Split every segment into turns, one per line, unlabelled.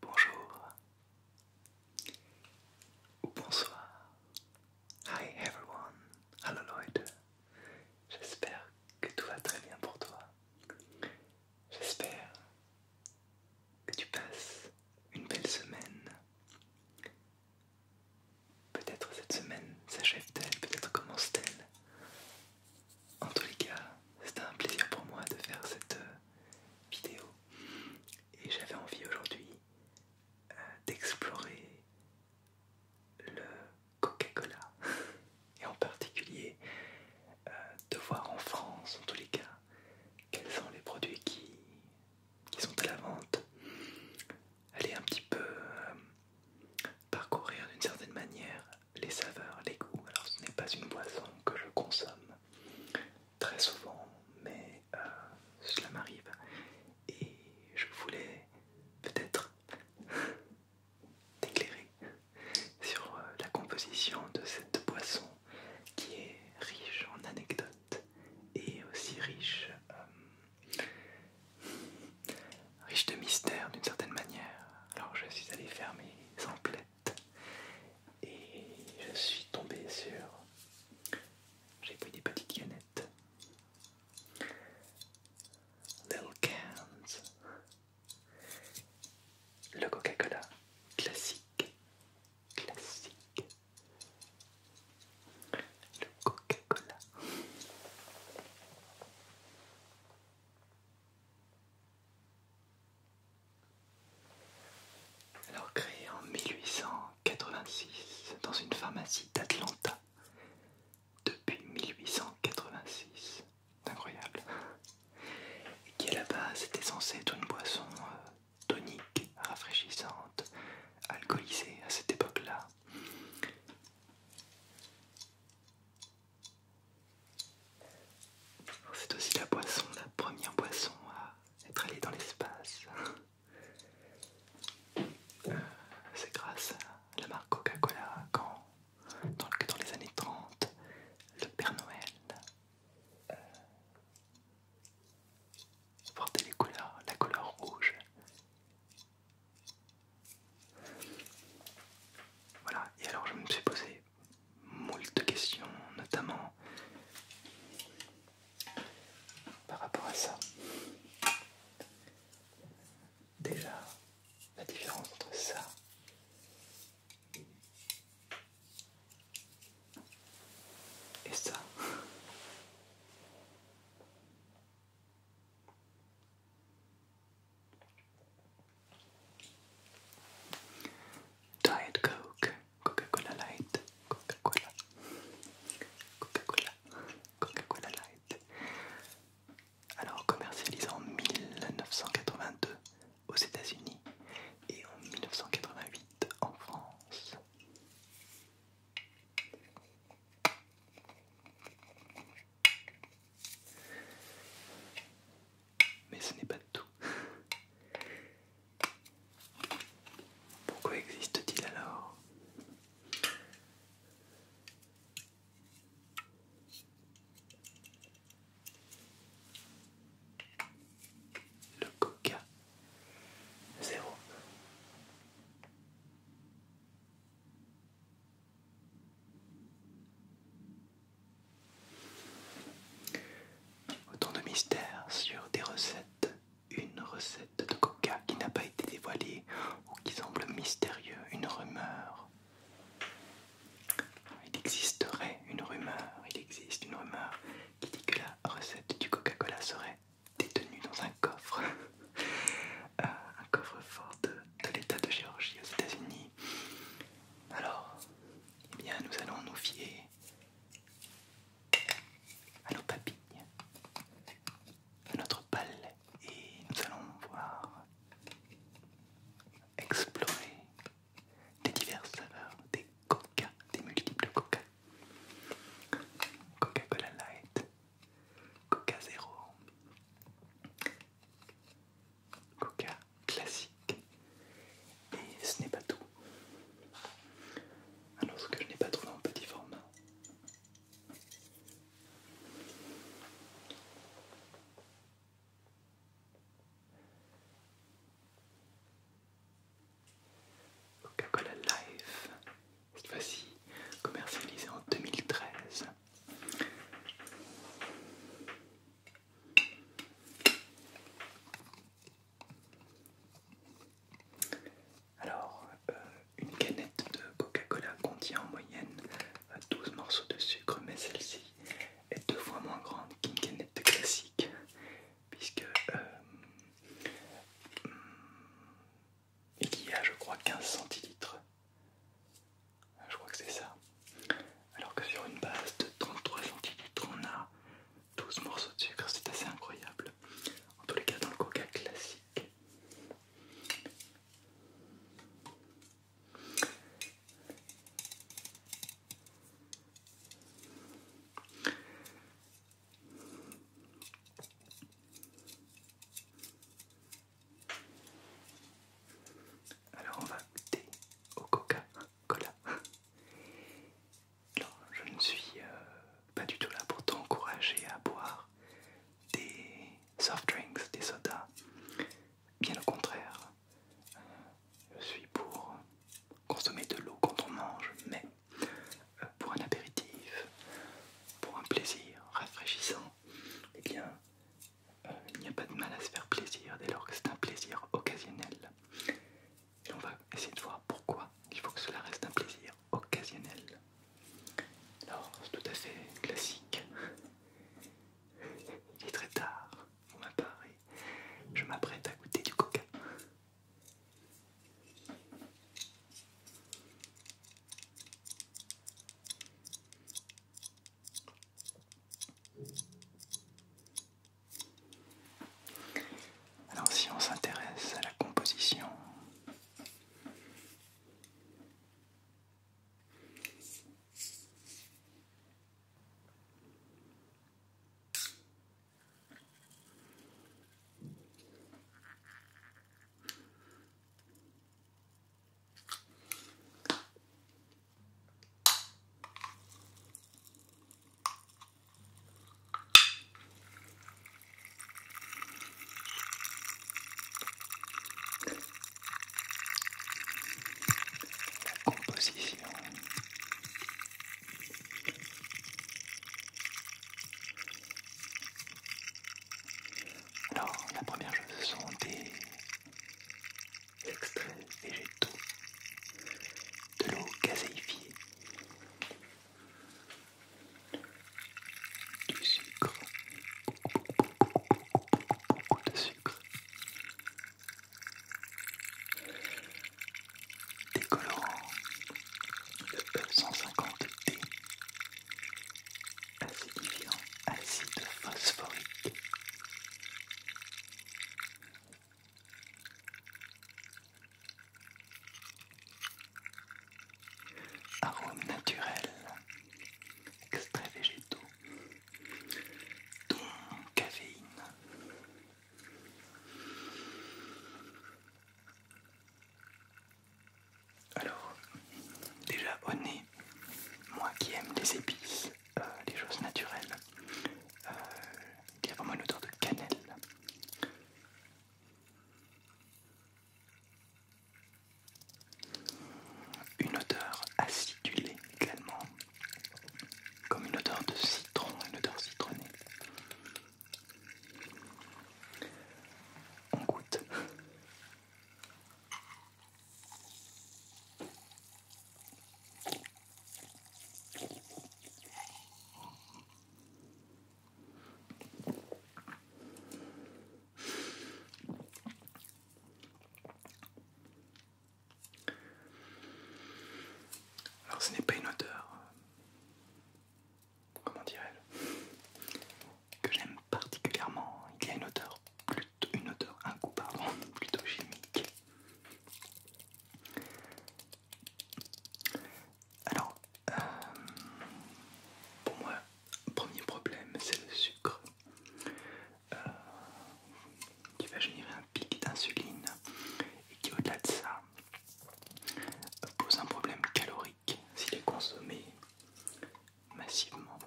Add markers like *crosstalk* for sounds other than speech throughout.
Bonjour ou bonsoir. Hi everyone. Hello Lloyd. J'espère que tout va très bien pour toi. J'espère que tu passes une belle semaine. Peut-être cette semaine s'achève-t-elle, peut-être commence-t-elle. En tous les cas, c'était un plaisir pour moi de faire cette euh, vidéo et j'avais envie aujourd'hui euh, d'explorer le Coca-Cola *laughs* et en particulier euh, de voir en France en tous les cas quels sont les produits qui sont à la vente aller un petit peu euh, parcourir d'une certaine manière les saveurs, les goûts. Alors ce n'est pas une boisson que je consomme très souvent, mais euh, cela m'arrive et je voulais peut-être *laughs* t'éclairer sur euh, la composition de cette boisson qui est riche en anecdotes et aussi riche riche de mystères, d'une certaine manière. Alors je suis allé faire mes emplettes et je suis tombé sur... J'ai pris des petites canettes. Little cans. Le Coca-Cola classique. Classique. Le Coca-Cola. Alors créé en 1886 dans une pharmacie d'Atlanta. Depuis 1886. Incroyable. Et qui à la base était censé être une boisson euh, tonique, rafraîchissante, alcoolisée à cette époque-là. Oh, c'est aussi la boisson, la première boisson à être allée dans l'espace. Euh, c'est grâce à la marque Coca-Cola quand, dans, les années 30, le Père Noël euh, portait les couleurs, la couleur rouge voilà, et alors je me suis posé moult questions, notamment par rapport à ça. Déjà, la différence entre ça et ça. Diet Coke, Coca-Cola Light, Coca-Cola, Coca-Cola, Coca-Cola Light. Alors commercialisé en 1982 aux États-Unis et en 1988 en France. Mais ce n'est pas tout. Pourquoi existe-t-il alors le coca zéro Autant de mystères sur des recettes, une recette de coca qui n'a pas été dévoilée ou qui semble mystérieuse, une rumeur. Il existerait une rumeur, il existe une rumeur qui dit que la recette du Coca-Cola serait détenu dans un coffre, *laughs* euh, un coffre-fort de, l'État de Géorgie aux États-Unis. Alors, eh bien, nous allons nous fier à nos papilles, à notre palais, et nous allons voir explorer des diverses saveurs, des coca, des multiples coca. Coca-Cola Light, Coca zéro, Coca classique. Et ce n'est pas tout. Alors ah ce que je n'ai pas trouvé en petit format. Coca-Cola Life cette fois-ci commercialisée en 2013. Alors, euh, une canette de Coca-Cola contient en moyenne 12 euh, morceaux de sucre, mais celle-ci est deux fois moins grande qu'une canette classique, puisque euh, et qui a je crois 15 centilitres. Je crois que c'est ça. Alors que sur une base de 33 centilitres, on a 12 morceaux de sucre, c'est assez incroyable. En tous les cas, dans le coca classique. Alors on va mettre au Coca-Cola. Hein, Alors je ne suis euh, pas du tout là pour t'encourager à boire des soft drinks, des sodas. Bien au contraire, euh, je suis pour consommer de l'eau quand on mange, mais pour un apéritif, pour un plaisir rafraîchissant, et eh bien, euh, il n'y a pas de mal à se faire plaisir dès lors que c'est un plaisir occasionnel. Et on va essayer de voir pourquoi il faut que cela reste un plaisir occasionnel. Alors, c'est tout à fait classique. Il est très tard, part et Je m'apprête à goûter du coca. Alors si on s'intéresse à la composition, la composition alors, la première chose, ce sont des extraits végétaux de l'eau gazéifiée, du sucre, beaucoup de sucre, des colorants, de 150 e T acidifiant, acide phosphorique. Arôme naturel, extraits végétaux, dont caféine. Alors, déjà au nez, moi qui aime les épices, euh, les choses naturelles, euh, il y a vraiment une odeur de cannelle. Une odeur acidulée également, comme une odeur de citron, une odeur citronnée. On goûte. Alors ce n'est pas une odeur comment dirais que j'aime particulièrement. Il y a une odeur, plutôt, une odeur, un goût pardon, *laughs* plutôt chimique. Alors, euh, pour moi, premier problème, c'est le sucre qui euh, va générer un pic d'insuline et qui, au-delà de ça, pose un problème calorique s'il est consommé massivement.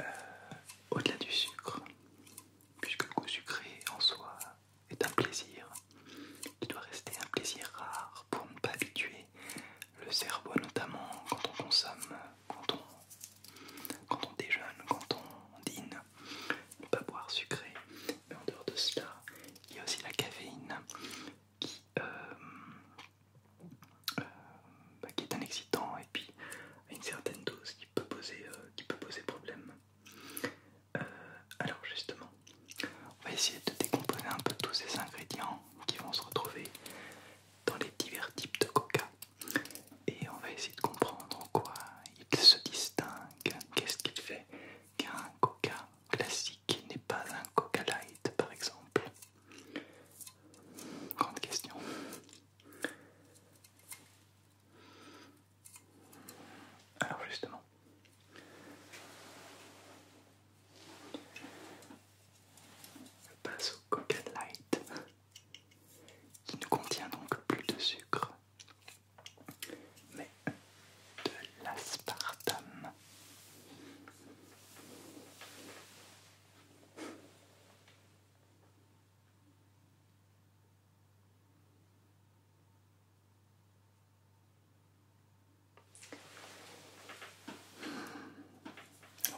Euh, au-delà du sucre, puisque le goût sucré en soi est un plaisir, qui doit rester un plaisir rare pour ne pas habituer le cerveau, notamment quand on consomme, quand on, quand on déjeune, quand on dîne, ne pas boire sucré mais en dehors de cela, il y a aussi la caféine euh, euh, bah, qui, est un excitant et puis à une certaine dose qui peut poser, euh, qui peut poser problème. alors justement, on va essayer de décomposer un peu tous ces ingrédients qui vont se retrouver dans les divers types de coca et on va essayer de comprendre en quoi ils se distinguent, qu'est-ce qu'il fait qu'un coca classique n'est pas un coca light par exemple Grande question. Alors justement, je passe au coca light qui ne contient donc plus de sucre mais de l'aspartame.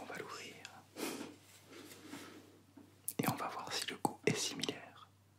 On va l'ouvrir et on va voir si le goût est similaire.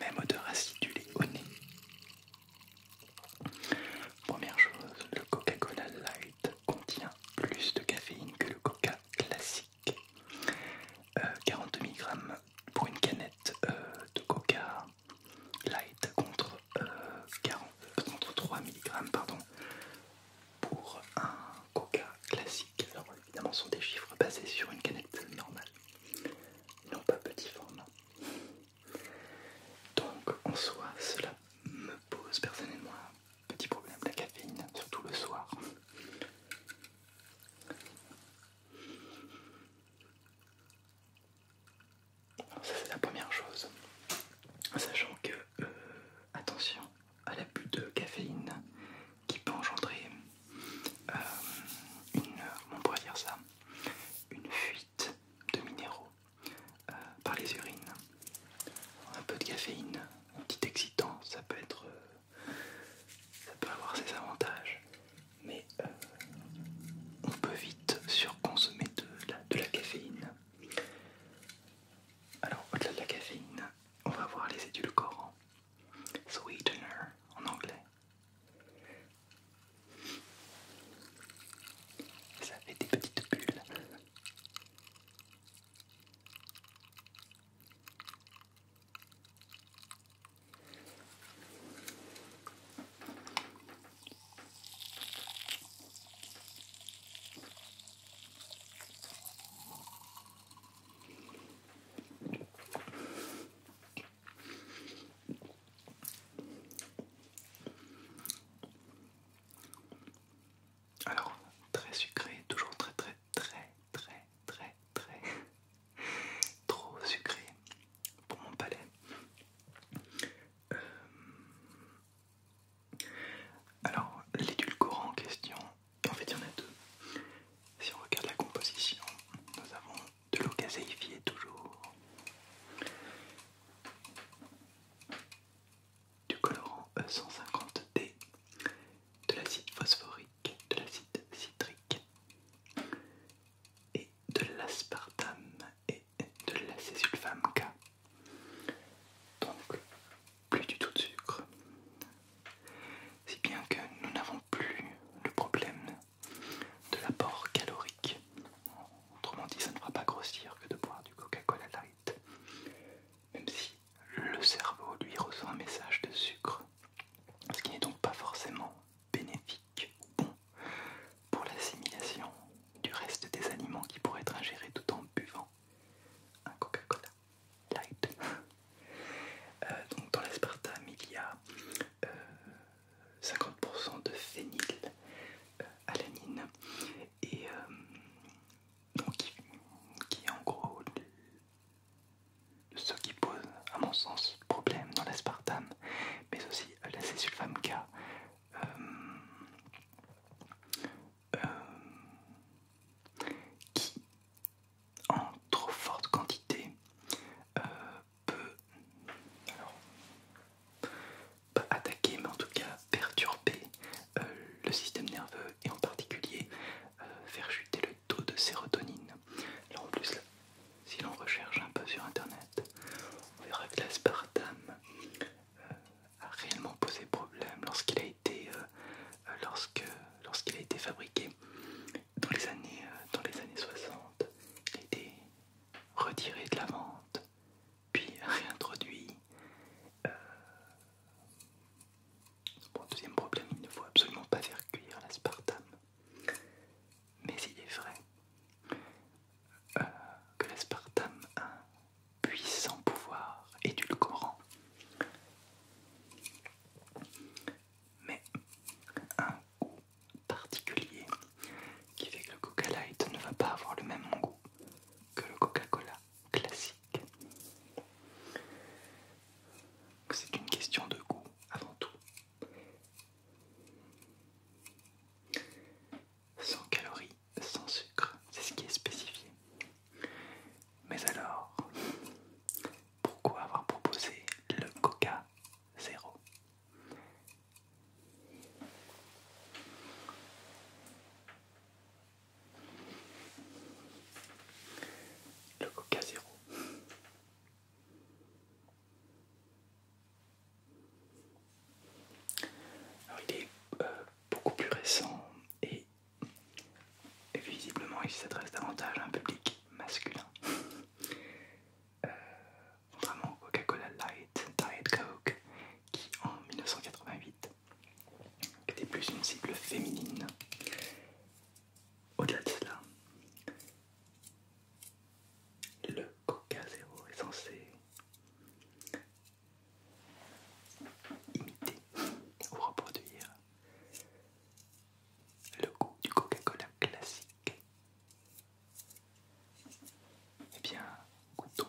Même odeur acidulée au nez. Première chose, le Coca-Cola Light contient plus de caféine que le Coca classique. 42 euh, mg pour une canette euh, de coca light contre, 3 euh, mg pardon, pour un coca classique. Alors évidemment ce sont des chiffres basés sur une canette normale, non pas petit format. Donc en soi cela me pose personnellement un petit problème, la caféine, surtout le soir. Ah, ça c'est la première chose. Sachant que euh, attention à l'abus de caféine qui peut engendrer euh, une, on pourrait dire ça, une fuite de minéraux euh, par les urines. Un peu de caféine, un petit excitant, ça peut être ça peut avoir ses avantages, mais euh, on peut vite surconsommer de la, de la caféine. Alors au-delà de la caféine, on va voir les édulcorants, sweetener en anglais. Ça fait des petites bulles. Alors, très sucré, toujours très très très très très très *laughs* trop sucré pour mon palais. Euh, alors l'édulcorant en question, en fait il y en a deux. Si on regarde la composition, nous avons de l'eau gazéifiée toujours, du colorant E150D, de l'acide phosphorique, de l'acide citrique et de l'aspartame et de l'acésulfame K. Donc plus du tout de sucre. Si bien que nous n'avons plus le problème de l'apport calorique. Autrement dit, ça ne fera pas grossir que de boire du Coca-Cola Light. Même si le cerveau lui reçoit un message de sucre, ce qui n'est donc pas forcément bénéfique ou bon pour l'assimilation du reste des aliments qui pourraient être ingérés tout en buvant un Coca-Cola light. *laughs* Euh, donc dans l'aspartame il y a 50% euh, de phényl-alanine euh, et donc qui, est en gros ce qui pose, à mon sens, problème dans l'aspartame, mais aussi la K. Euh, euh, qui en trop forte quantité euh, peut attaquer mais en tout cas perturber le système nerveux et en particulier faire chuter le taux de sérotonine. en plus, si l'on recherche un peu sur internet, on verra que l'aspartame euh, a réellement posé problème lorsqu'il a été euh, euh, lorsque lorsqu'il a été fabriqué dans les années dans les années 60, il a été retiré de la vente, puis *laughs* réintroduit un deuxième problème, il ne faut absolument pas faire cuire l'aspartame. Mais il est vrai euh, que l'aspartame a un puissant pouvoir édulcorant. Mais un goût particulier qui fait que le Coca Light ne va pas avoir le même goût que le Coca-Cola classique. C'est une question de goût avant tout. Sans calories, sans sucre, c'est ce qui est spécifié. Mais alors, pourquoi avoir proposé le coca 0 le coca zero Alors il est euh, beaucoup plus récent et visiblement il s'adresse davantage à un public masculin. Vraiment euh, Coca-Cola Light, Diet Coke, qui en 1988 était plus une cible féminine. Au-delà de cela, le Coca-Zéro est censé imiter ou reproduire le goût du Coca-Cola classique. Eh bien, goûtons.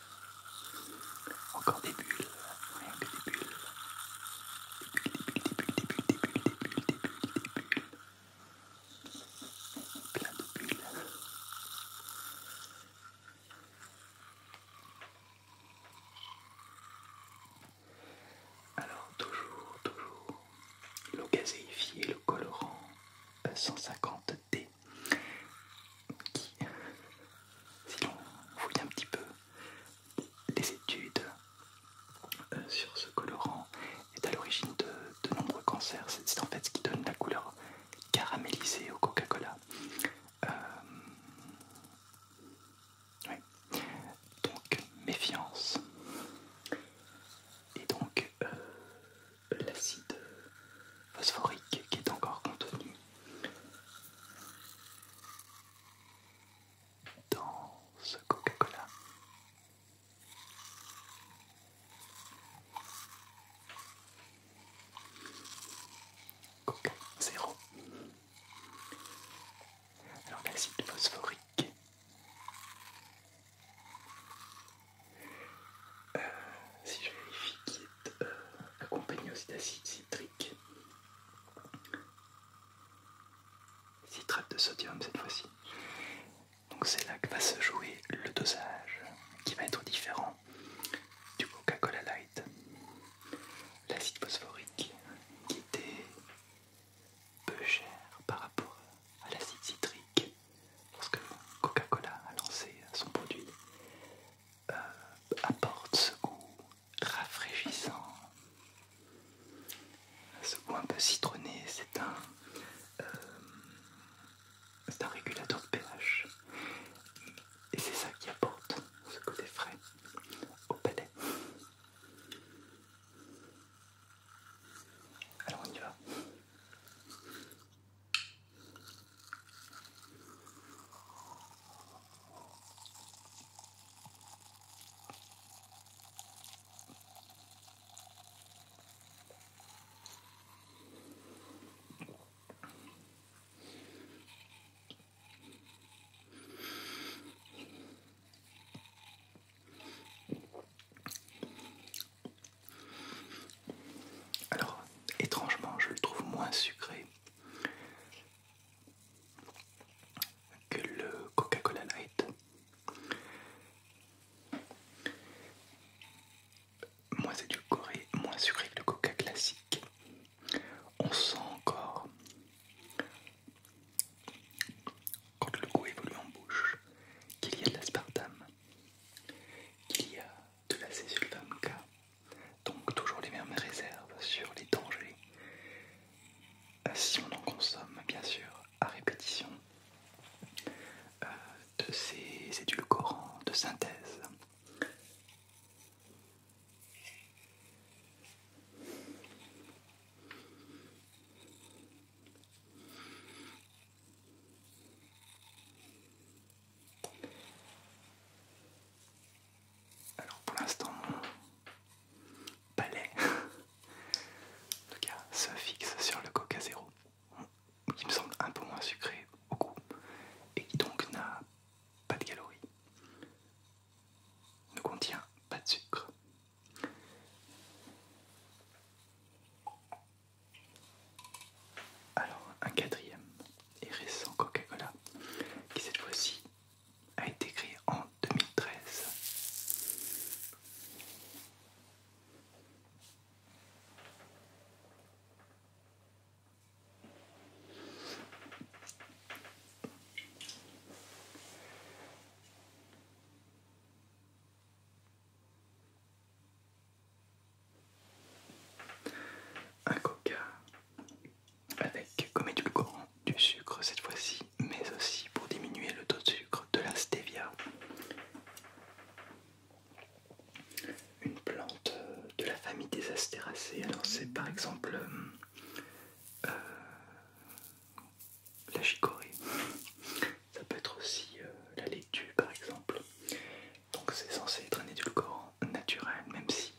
Encore des bulles, rien que des bulles. Des bulles, des bulles, des bulles, des bulles, des bulles, des bulles, des bulles, des bulles. Plein de bulles. Alors toujours, toujours, l'eau gazéifiée, le colorant 150D euh, qui, si l'on fouille un petit peu, les études euh, sur ce colorant est à l'origine de, nombreux cancers. C'est en fait ce qui donne la couleur caramélisée au Coca-Cola. Euh, donc méfiance. Et donc euh, l'acide phosphorique qui est encore contenu dans ce Coca-Cola. Coca zéro. Alors l'acide phosphorique. Euh, si je vérifie qu'il est euh, accompagné aussi d'acide citrique. Citrate de sodium cette fois-ci. Donc c'est là que va se jouer le dosage qui va être différent du Coca-Cola Light. L'acide phosphorique qui était peu cher par rapport à l'acide citrique lorsque Coca-Cola a lancé son produit euh, apporte ce goût rafraîchissant. Ce goût un peu citronné, c'est un, euh, un régulateur de pH. Et c'est ça qui apporte ce côté frais au palais. Alors on y va. Alors, étrangement, je le trouve moins sucré que le Coca-Cola Light. Moins édulcoré, moins sucré que le Coca classique. On sent encore quand le goût évolue en bouche qu'il y a de l'aspartame, qu'il y a de la Donc toujours les mêmes réserves sur les dangers. Si on en consomme bien sûr à répétition euh, de ces édulcorants de synthèse. Alors pour l'instant mon palais en se fixe sur le coca Zero, qui me semble un peu moins sucré au goût et qui donc n'a pas de calories, ne contient pas de sucre. Alors un quatrième et récent Coca-Cola, qui cette fois-ci a été créé en 2013. Un coca avec comme édulcorant du sucre cette fois-ci, mais aussi pour diminuer le taux de sucre de la stevia. Une plante euh, de la famille des astéracées, alors c'est par exemple euh, euh, la chicorée, ça peut être aussi la laitue par exemple. Donc c'est censé être un édulcorant naturel, même si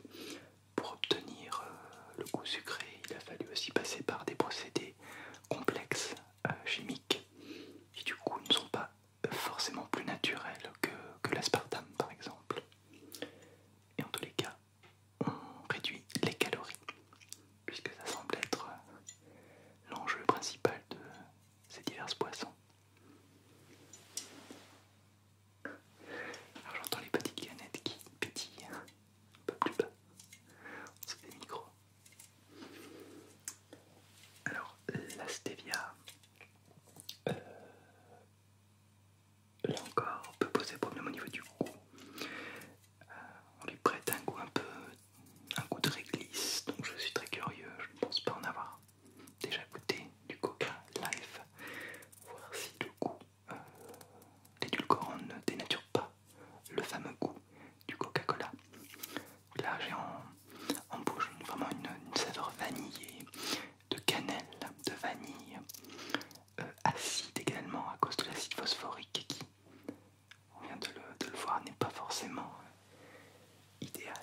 pour obtenir euh, le goût sucré, il a fallu aussi passer par des procédés complexes euh, chimiques qui du coup ne sont pas forcément plus naturels que, l'aspartame par exemple. Et en tous les cas, on réduit les calories puisque ça semble être euh, l'enjeu principal de ces diverses poissons. Alors j'entends les petites canettes qui pétillent un peu plus bas. C'est des micros. Alors la stevia, euh, là encore, peut poser problème au niveau du goût. Euh, on lui prête un goût un peu, un goût de réglisse, donc je suis très curieux. Je ne pense pas en avoir déjà goûté du coca life, voir si le goût, euh, l'édulcorant ne dénature pas le fameux goût du Coca-Cola. Là j'ai en, bouche vraiment une, saveur vanillée, de cannelle, de vanille, euh, acide également à cause de l'acide phosphorique qui, on vient de le, voir, n'est pas forcément euh, idéal.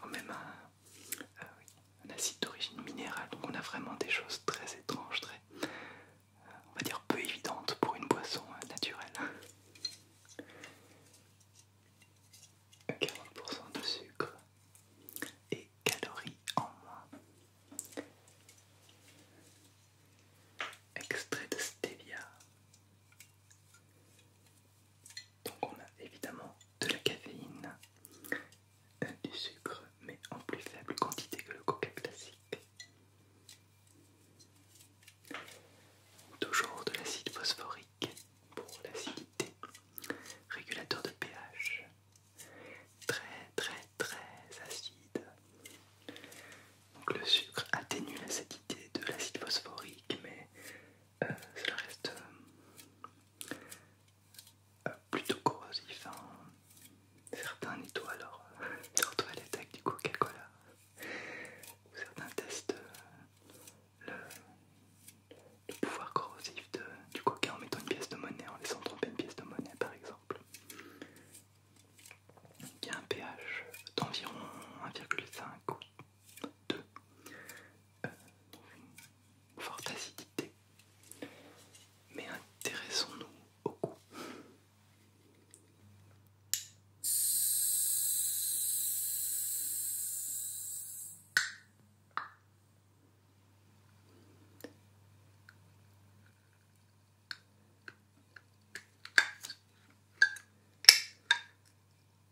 Quand même euh, un acide d'origine minérale. Donc on a vraiment des choses très étranges, très, euh, on va dire peu évidentes pour une boisson euh, naturelle. 40% *laughs* de sucre et calories en moins. Extrait de stevia. Donc on a évidemment de la caféine, euh, du sucre, mais en plus faible quantité que le coca classique. Toujours de l'acide phosphorique pour l'acidité, régulateur de pH, très très très acide. Donc le sucre atténue l'acidité de l'acide phosphorique, mais ça euh, reste euh, euh, plutôt corrosif. Hein. Certains nettoient alors, surtout à avec du Coca-Cola, certains testent le, pouvoir corrosif du Coca en mettant une pièce de monnaie, en laissant tromper une pièce de monnaie par exemple, y a un pH d'environ 1,5 de forte acidité, mais intéressons-nous au goût.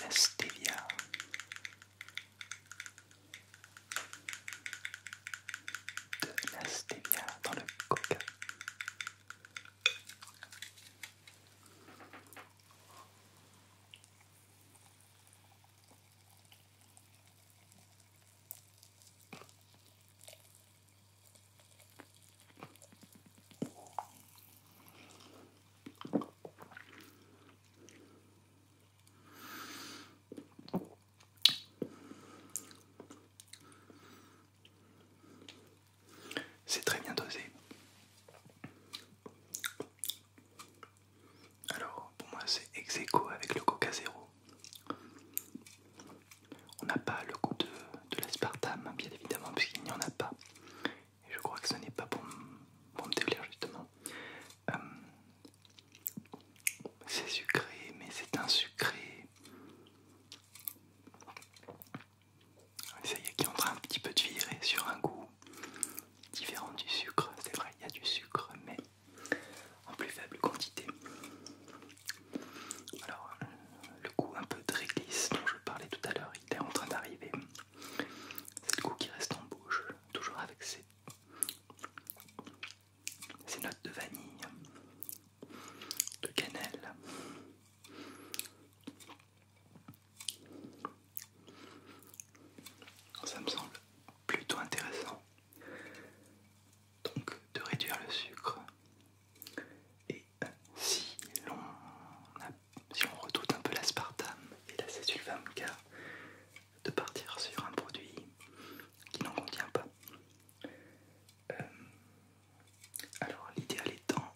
la stevia, de la stevia dans le coca. C'est très bien dosé. Alors, pour moi, c'est ex avec le coca zéro. On n'a pas le goût de, de l'aspartame, hein, bien évidemment, puisqu'il n'y en a pas. Et je crois que ce n'est pas pour, pour me déplaire justement. Euh, c'est sucré, mais c'est un sucré. Ça y est, qui un petit peu de virer sur un goût différent du sucre. C'est vrai, il y a du sucre, mais en plus faible quantité. Alors, euh, le goût un peu de réglisse dont je parlais tout à l'heure, en train d'arriver. C'est le goût qui reste en bouche, toujours avec ses, ces notes de vanille, de cannelle. Ça me semble plutôt intéressant donc de réduire le sucre et si l'on redoute un peu l'aspartame et la K, de partir sur un produit qui n'en contient pas. Euh, alors l'idéal étant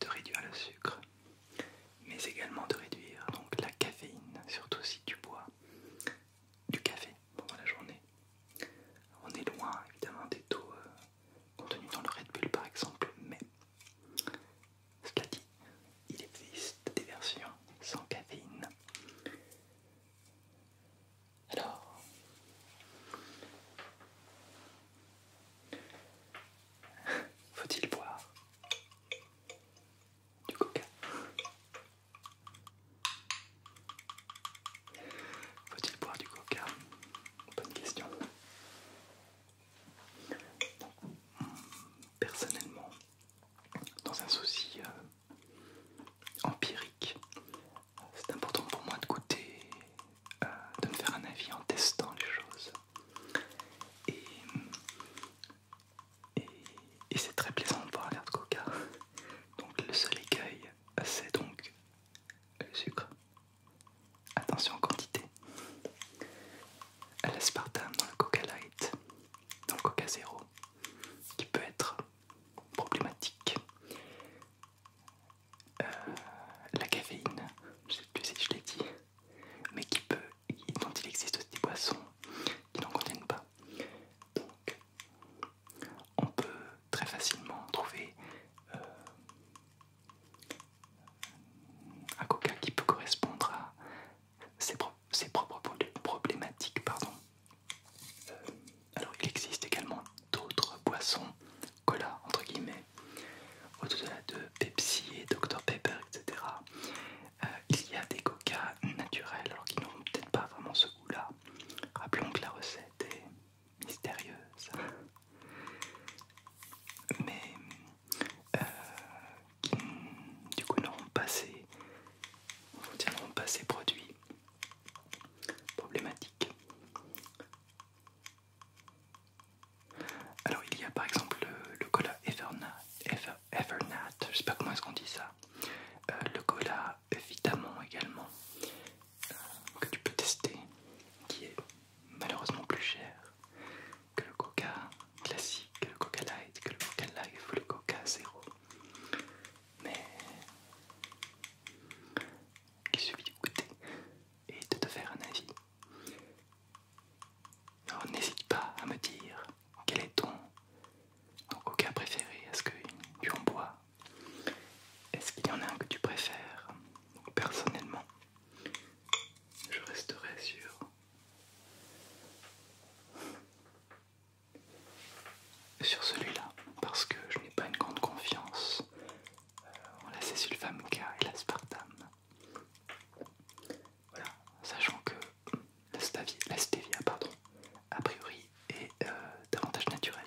de réduire le sucre, mais également de réduire donc la caféine, surtout si tu bois du café pendant la journée. On est loin évidemment des taux euh, Contenu dans le Red Bull par exemple, mais cela dit, il existe des versions sans caféine. Alors, faut-il boire du coca Faut-il boire du coca Bonne question. Personnellement, dans un souci euh, empirique, c'est important pour moi de goûter, euh, de me faire un avis en testant les choses. Et, c'est très plaisant de boire verre de coca. Donc le seul écueil, euh, c'est donc le sucre. Attention quantité. À l'aspartame dans le Coca Light, dans le Coca Zéro, qui peut être problématique. Euh, la caféine, je ne sais plus si je l'ai dit, mais qui peut, dont il existe des boissons qui n'en contiennent pas. Donc, on peut très facilement trouver euh, un coca qui peut correspondre à ses, propres problématiques. Pardon. Euh, alors il existe également d'autres boissons, cola entre guillemets, au-delà de Pepsi et Dr Pepper, etc. Euh, il y a des coca naturels alors qui n'ont peut-être pas vraiment ce goût-là. Rappelons que la recette est mystérieuse, mais euh, qui du coup n'auront pas ces, pas ces produits problématiques. Alors il y a par exemple le, cola Evernat, je sais pas comment est-ce qu'on dit ça, euh, le cola Vitamon également, euh, que tu peux tester, qui est malheureusement plus cher que le coca classique, que le coca light, que le coca life ou le coca zéro. Mais il suffit de goûter et de te faire un avis. Alors n'hésite pas à me dire quel est ton coca préféré. Est-ce que tu en bois Est-ce qu'il y en a un que tu préfères Personnellement, je resterai sur sur celui-là parce que je n'ai pas une grande confiance euh, en la Césulfamuca et l'aspartame. Voilà, sachant que la stevia, la pardon, a priori est euh, davantage naturelle.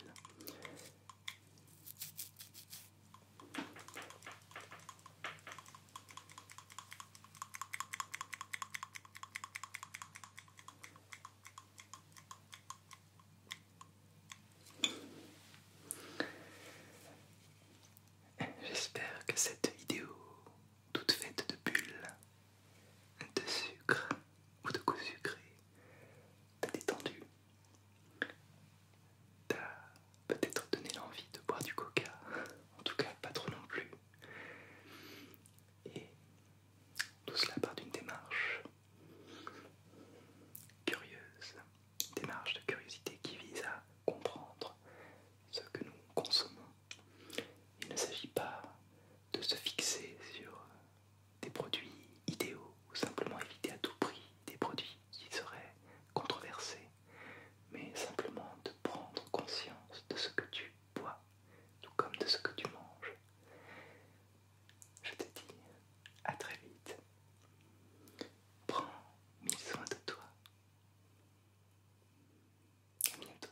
J'espère que cette vidéo, toute faite de bulles, de sucre ou de coups sucrés, t'a détendu. T'as peut-être donné l'envie de boire du coca, en tout cas pas trop non plus. Et tout cela part d'une démarche curieuse, démarche de curiosité qui vise à comprendre ce que nous consommons. Il ne s'agit pas de se fixer sur des produits idéaux ou simplement éviter à tout prix des produits qui serait controversé, mais simplement de prendre conscience de ce que tu bois, tout comme de ce que tu manges. Je te dis à très vite. Prends mis soin de toi. À bientôt.